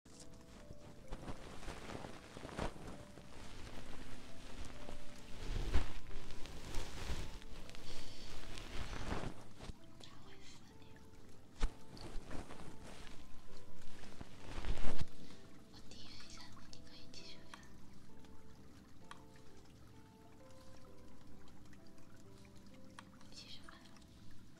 我提醒一下，你可以继续发。继续发。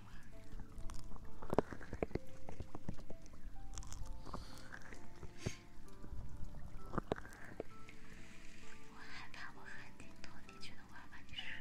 我害怕，我汗滴落地，觉得我要把你湿了。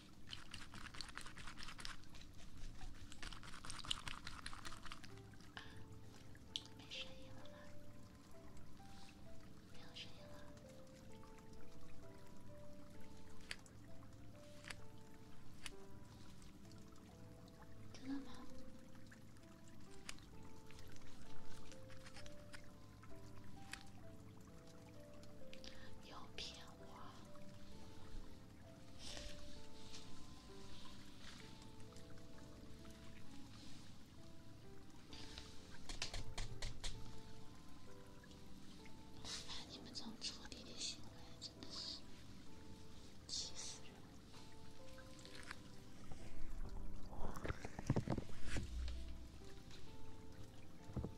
没声音了吗？没有声音了。真的吗？又骗我！哎，你们这种处理的行为真的是气死人！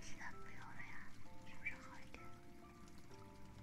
其他不用了呀，是不是好一点？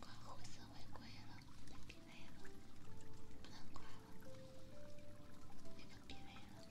挂红色违规了，别累了，不能挂了，那个别累了。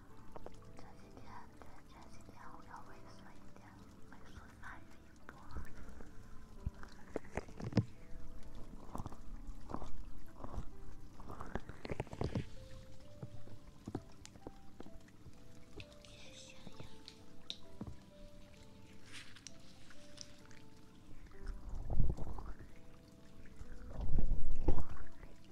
这几天，前前几天我要喂素一点，喂素鳗鱼鱼骨。谢谢。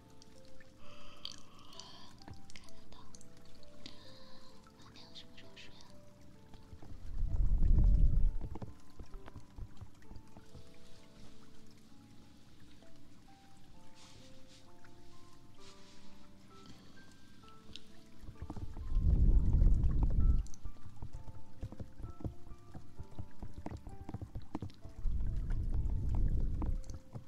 看得到，妈娘什么时候睡啊？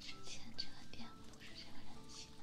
之前这个店不是这个人气的。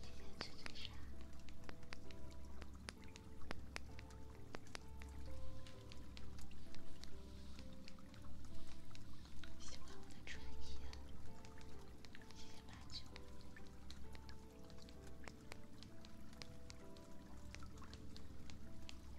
今天去最深。喜欢我的穿衣，谢谢马九。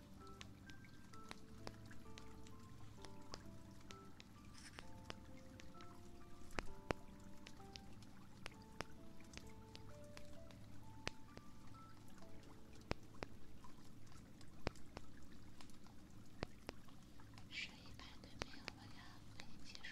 十一百都没有了呀！我已经结束了。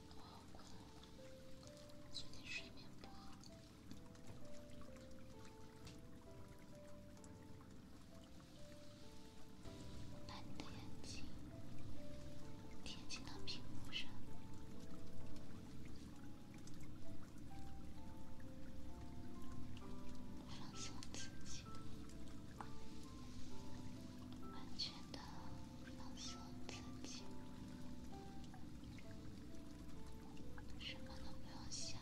我最近睡眠不好，把你的眼睛贴近到屏幕上，放松自己，完全的。放松自己，什么都不用想，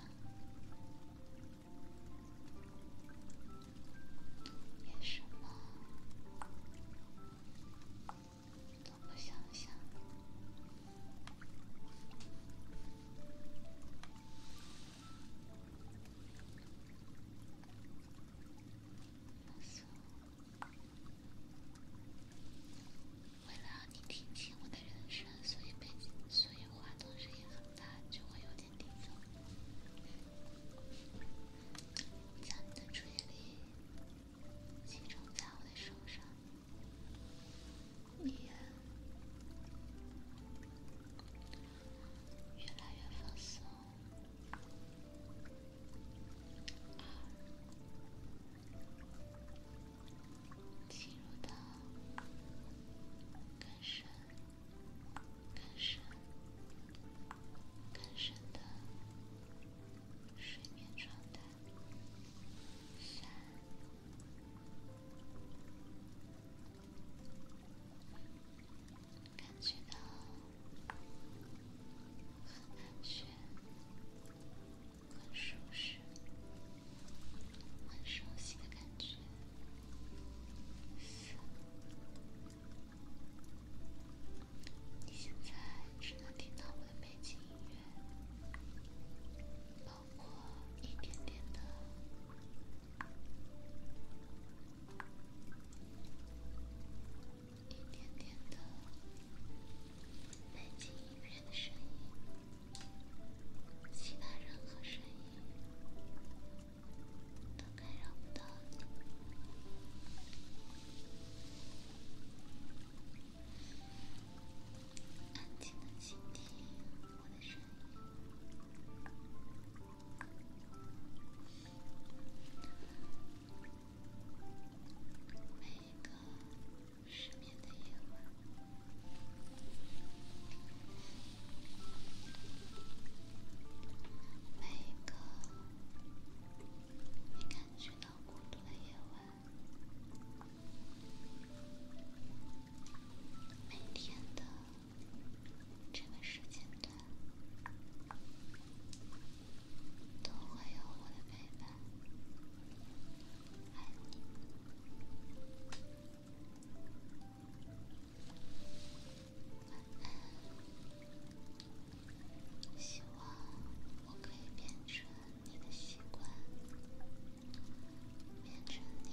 也什么都不想想。为了让你听清我的声所以背景，所以话筒声音很大，就会有点底噪。将你的注意力集中在我的身上，你越来越放松。进入到更深、更深、更深的睡眠状态。三。感觉到很安全、很舒适、很熟悉的感觉。四，你现在只能听到我的背景音乐，包括一点点的。一点点的，安静一片的声音，其他任何声音都干扰不到你。安静的倾听我的声音。每一个失眠的夜晚，每一个你感觉到孤独的夜晚，每天的这个时间段。都会有我的陪伴，爱你，晚安。希望我可以变成你的习惯，变成你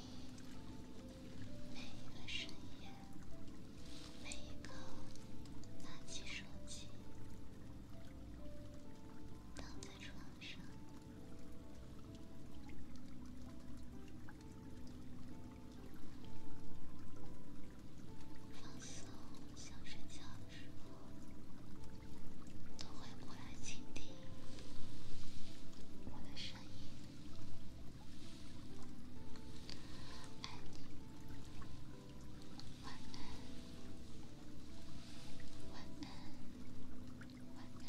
每一个深夜。每一个拿起手机躺在床上放松想睡觉的时候，都会过来倾听我的声音，爱你。晚安，晚安，晚安，晚安，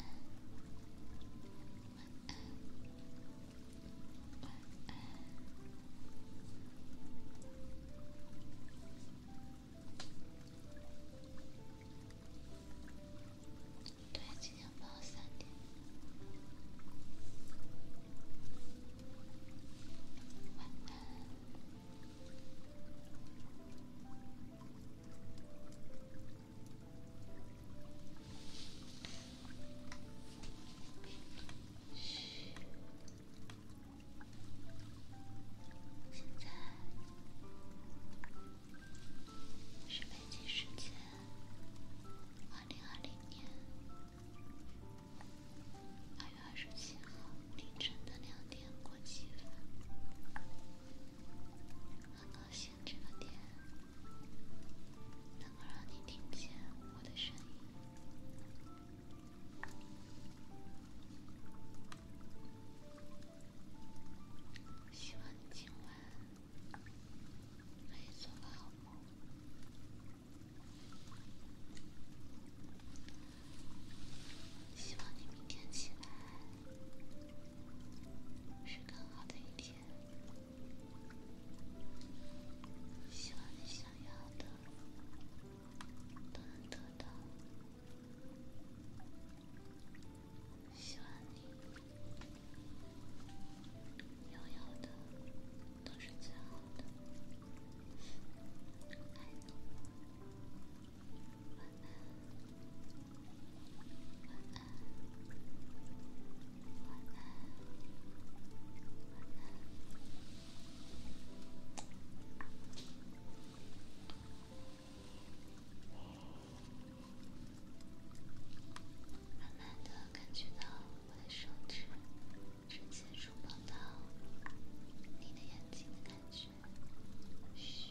晚安。对，今天播到三点。现在是北京时间二零二零年。八月二十七号凌晨的两点过几分，很高兴这个点能够让你听见我的声音。希望你今晚可以做个好梦。希望你明天起来是更好的一天。希望你想要的都能得到。希望你拥有的都是最好的。慢慢感觉到我的手指。直接触碰到你的眼睛的感觉，嘘。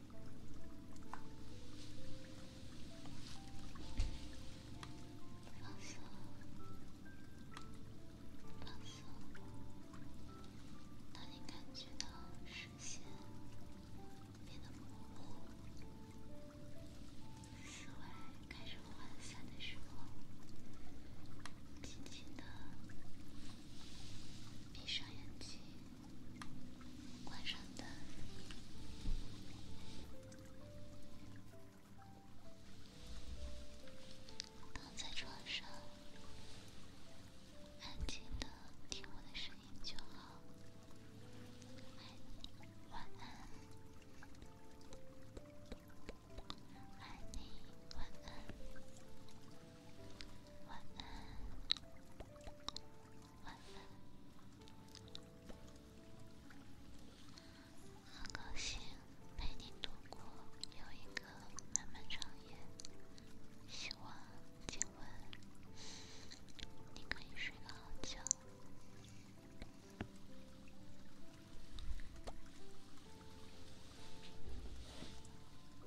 放松，放松。当你感觉到视线变得模糊，思维开始涣散的时候，轻轻的闭上眼睛。关上灯，躺在床上，安静的听我的声音就好。爱你，晚安。爱你，晚安。晚安。晚安，很高兴陪你度过又一个漫漫长夜，希望今晚你可以睡个好觉。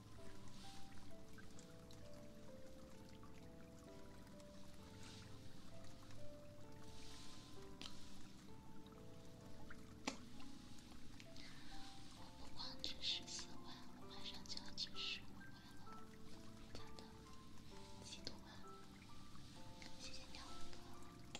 我不光挣十四万，我马上就要进十五万了，真的，几多万！谢谢你，老公。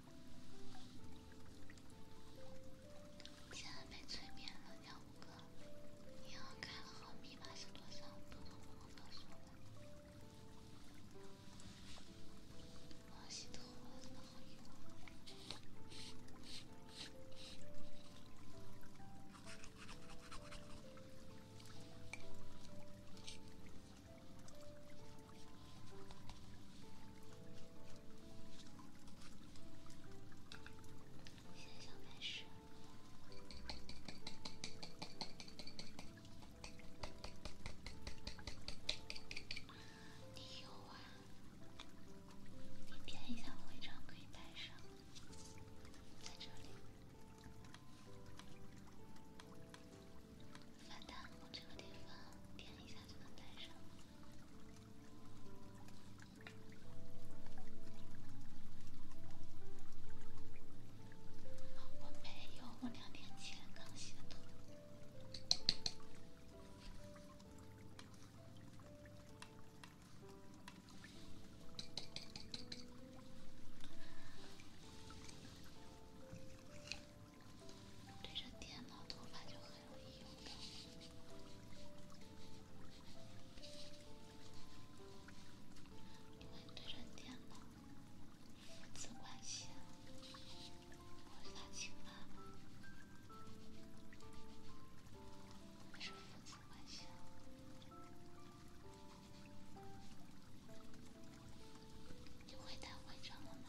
现在被催眠了，鸟五哥，银行卡号密码是多少？不能乱说的。王希桐，你好。先生没事。你有啊？你点一下徽章可以带上，在这里。发弹，我这个地方点一下就能戴上。我没有，我两天前刚洗的头。对着电脑，头发就很容易油的。因为对着电脑，父子关系，头发稀了，那是父子关系。你会戴徽章了吗？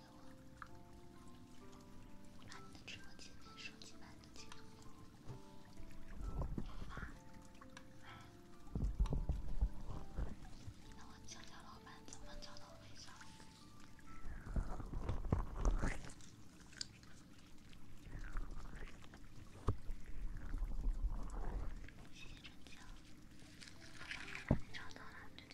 给我把你的直播间手机版的截图给我发。那我江江老板怎么找到微信？谢谢江江。好的，我帮你找到了。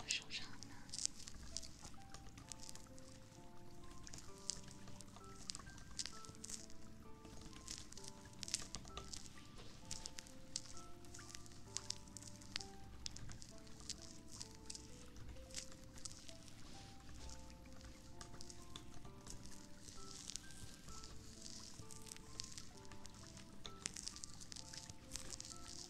我收藏了。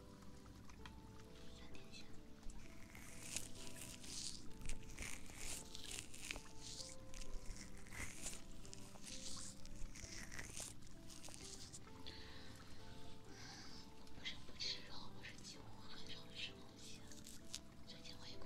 我不是不吃肉，我是几乎很少吃东西。最近回国。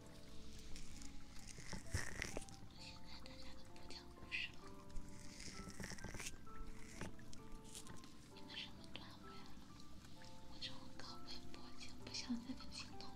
现在大家都不讲故事了，你们什么段位了？我这种搞微博已经不像那个青铜了。